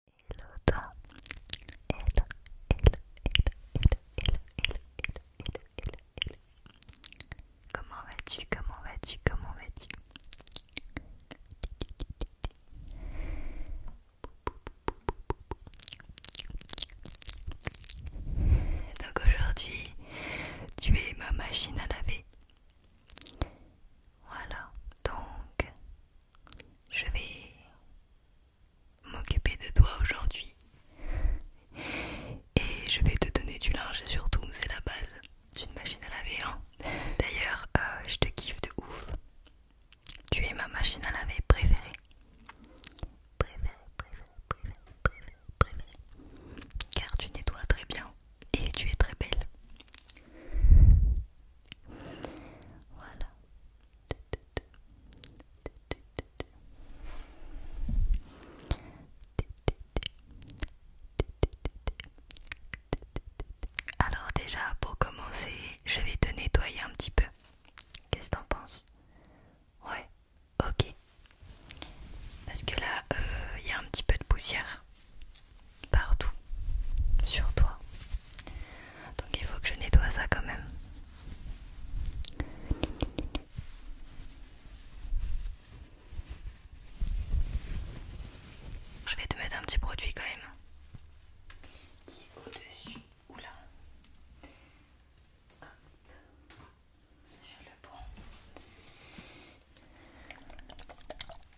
hello. Comment vas-tu Comment vas-tu Comment vas-tu Donc aujourd'hui, tu es ma machine à laver. Voilà, donc je vais m'occuper de toi aujourd'hui. Et je vais te donner du linge, surtout, c'est la base d'une machine à laver. Hein. D'ailleurs, euh, je te kiffe de ouf. Tu es ma machine à laver préférée. Préférée, préférée, préférée, préférée, préférée. Car tu nettoies très bien et tu es très belle. Voilà. Alors déjà, pour commencer, je vais te nettoyer un petit peu. Qu'est-ce que t'en penses Ouais, ok. Parce que là, euh, il y a un petit peu de poussière partout sur toi. Donc il faut que je nettoie ça quand même. Je vais te mettre un petit produit quand même qui est au-dessus. Oula. là. Je le prends.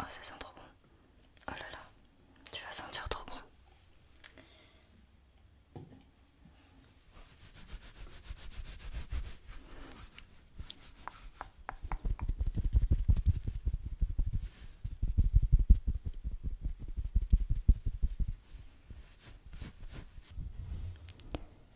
Oh, ça sent trop bon. Oh là là, tu vas sentir trop bon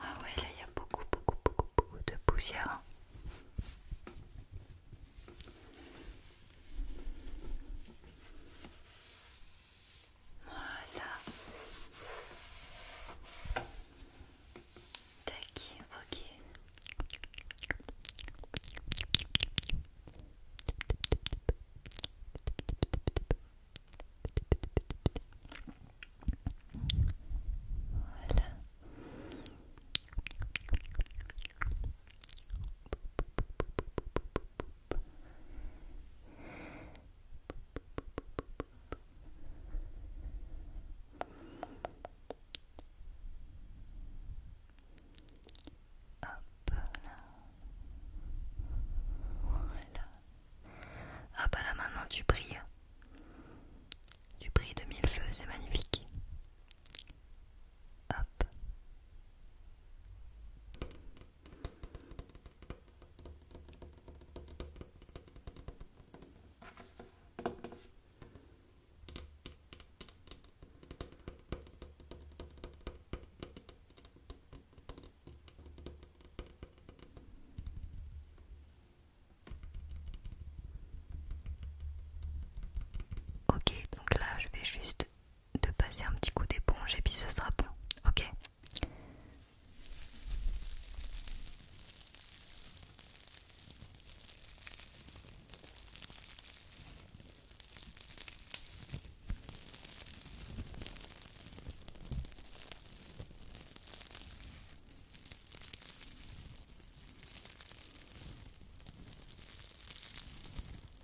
Ah ouais, là il y a beaucoup, beaucoup, beaucoup, beaucoup de poussière. Voilà. Tac, ok. Voilà. Hop, Voilà. là Hop, là maintenant tu brilles. Tu brilles de mille feux, c'est magnifique. Hop. Ok, donc là je vais juste de passer un petit coup d'éponge et puis ce sera bon, ok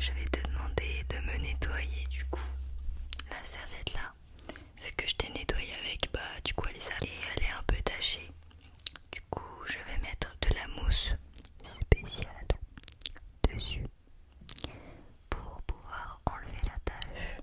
Je vais te demander de me nettoyer du coup la serviette là. Vu que je t'ai nettoyé avec, bah du coup elle est elle est un peu tachée. Du coup je vais mettre de la mousse spéciale dessus pour pouvoir enlever la tâche.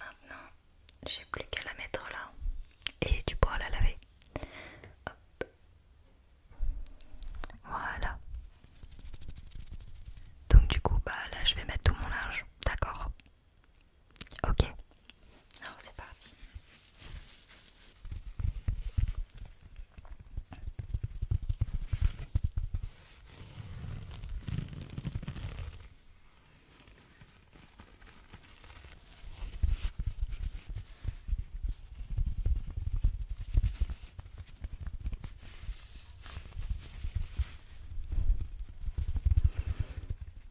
Maintenant, j'ai plus qu'à la mettre là et tu pourras la laver. Voilà. Donc du coup, bah là, je vais mettre tout mon linge, d'accord Ok, alors c'est parti.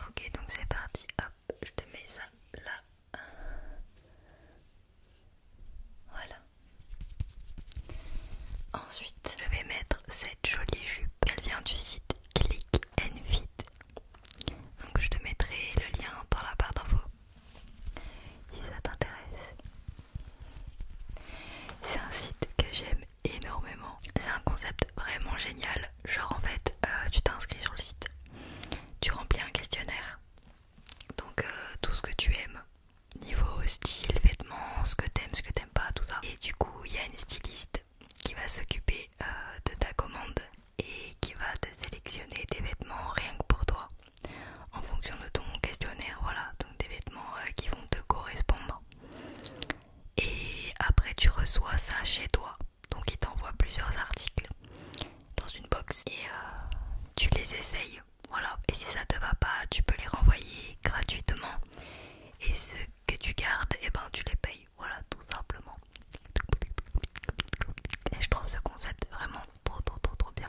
Ok, donc c'est parti. Hop, je te mets ça là. Voilà. Ensuite, je vais mettre cette jolie jupe. Elle vient du site Click and Fit donc je te mettrai le lien dans la barre d'infos si ça t'intéresse. C'est un site que j'aime énormément. C'est un concept vraiment génial. Genre en fait, euh, tu t'inscris sur le site, tu remplis un questionnaire. Donc euh, tout ce que tu aimes, niveau style, vêtements, ce que t'aimes, ce que t'aimes pas, tout ça. Et du coup, il y a une styliste qui va s'occuper euh, de ta commande et qui va te sélectionner des vêtements rien que pour toi en fonction de ton questionnaire voilà donc des vêtements euh, qui vont te correspondre et après tu reçois ça chez toi donc il t'envoie plusieurs articles dans une box et euh, tu les essayes voilà et si ça te va pas tu peux les renvoyer gratuitement et ceux que tu gardes et eh ben tu les payes voilà tout simplement et je trouve ce concept vraiment trop trop trop trop bien.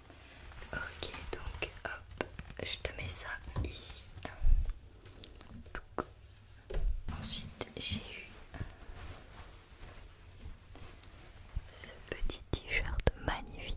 Ok, donc hop, je te mets ça ici. Ensuite, j'ai eu ce petit t-shirt magnifique.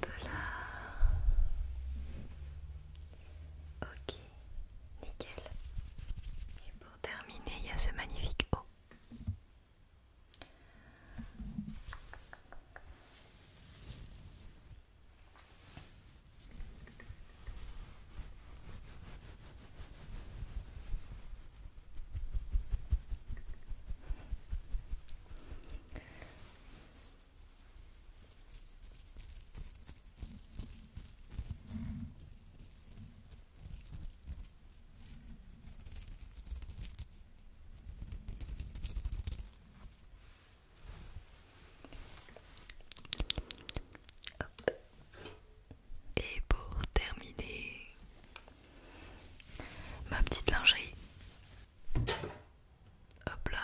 peu Ok, nickel. Et pour terminer, il y a ce magnifique haut. Et pour terminer, Ma petite lingerie. Hop là.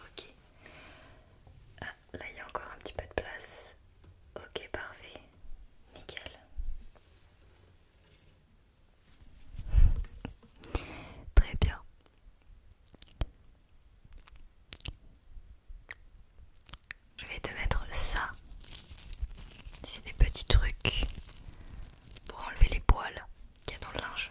Ok. Euh, là il y a encore un petit peu de place. Ok, parfait. Nickel. Très bien. Je vais te mettre ça. C'est des petits trucs pour enlever les poils qu'il y a dans le linge.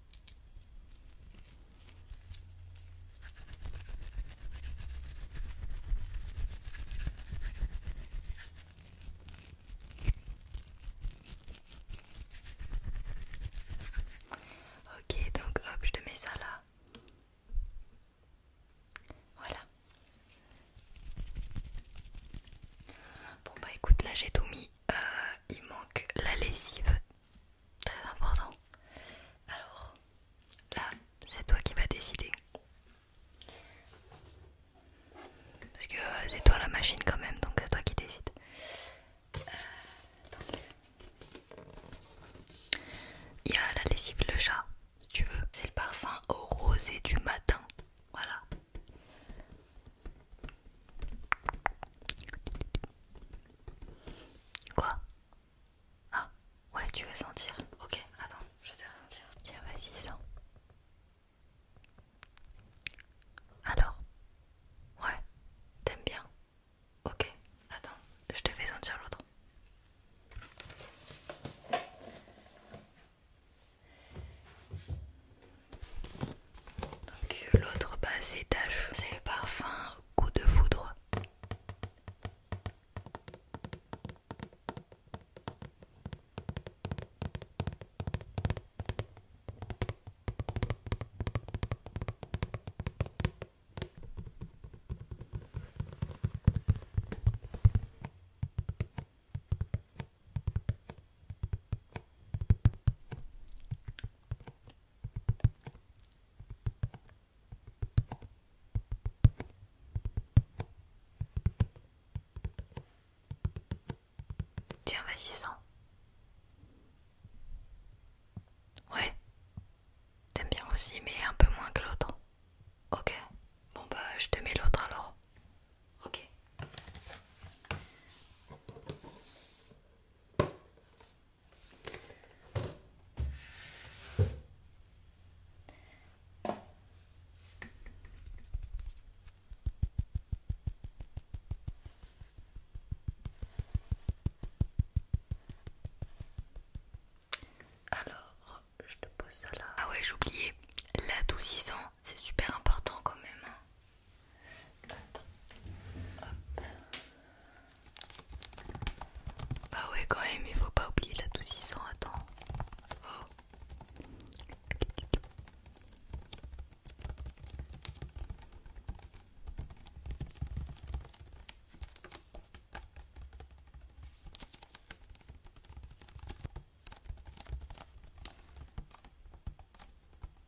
Ok, donc hop, je te mets ça là. Voilà. Bon bah écoute, là j'ai tout mis. Euh, il manque la lessive, très important. Alors là, c'est toi qui vas décider. Parce que c'est toi la machine quand même, donc c'est toi qui décide. Euh, il y a la lessive le chat, si tu veux. C'est le parfum rosé du matin. Voilà. Quoi Ah, ouais, tu veux sentir. Ok, attends, je te fais sentir. Tiens, vas-y, sens. Alors Ouais, t'aimes bien Ok, attends, je te fais sentir l'autre. Donc euh, l'autre bas étage, c'est le parfum coup de foudre. Tiens, vas-y, sans. Ouais. T'aimes bien aussi, mais un peu moins que l'autre. Ok. Bon bah, je te mets l'autre alors. Ok. Alors, je te pose ça là. Ah ouais, j'ai oublié. L'adoucissant, c'est super important quand même. Hein. Bah ouais quand même, il faut pas oublier la douce attends. Oh.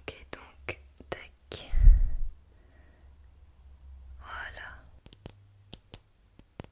Ok donc tac. Voilà.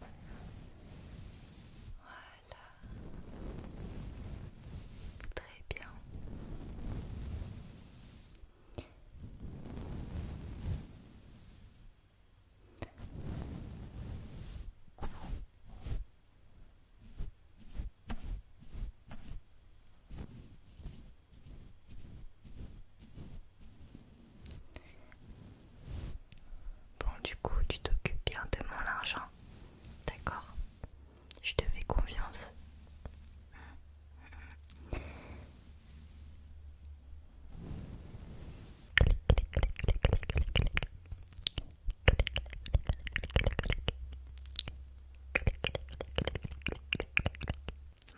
Voilà. Très bien. Bon, du coup, tu t'occupes bien de mon argent, d'accord Je te fais confiance.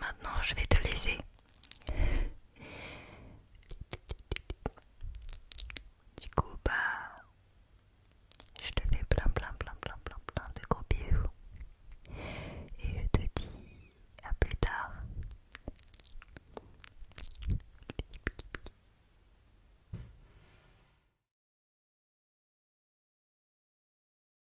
Maintenant, je vais te laisser. Du coup, bah, je te fais plein, plein, plein, plein, plein, plein de gros bisous. Et je te dis à plus tard.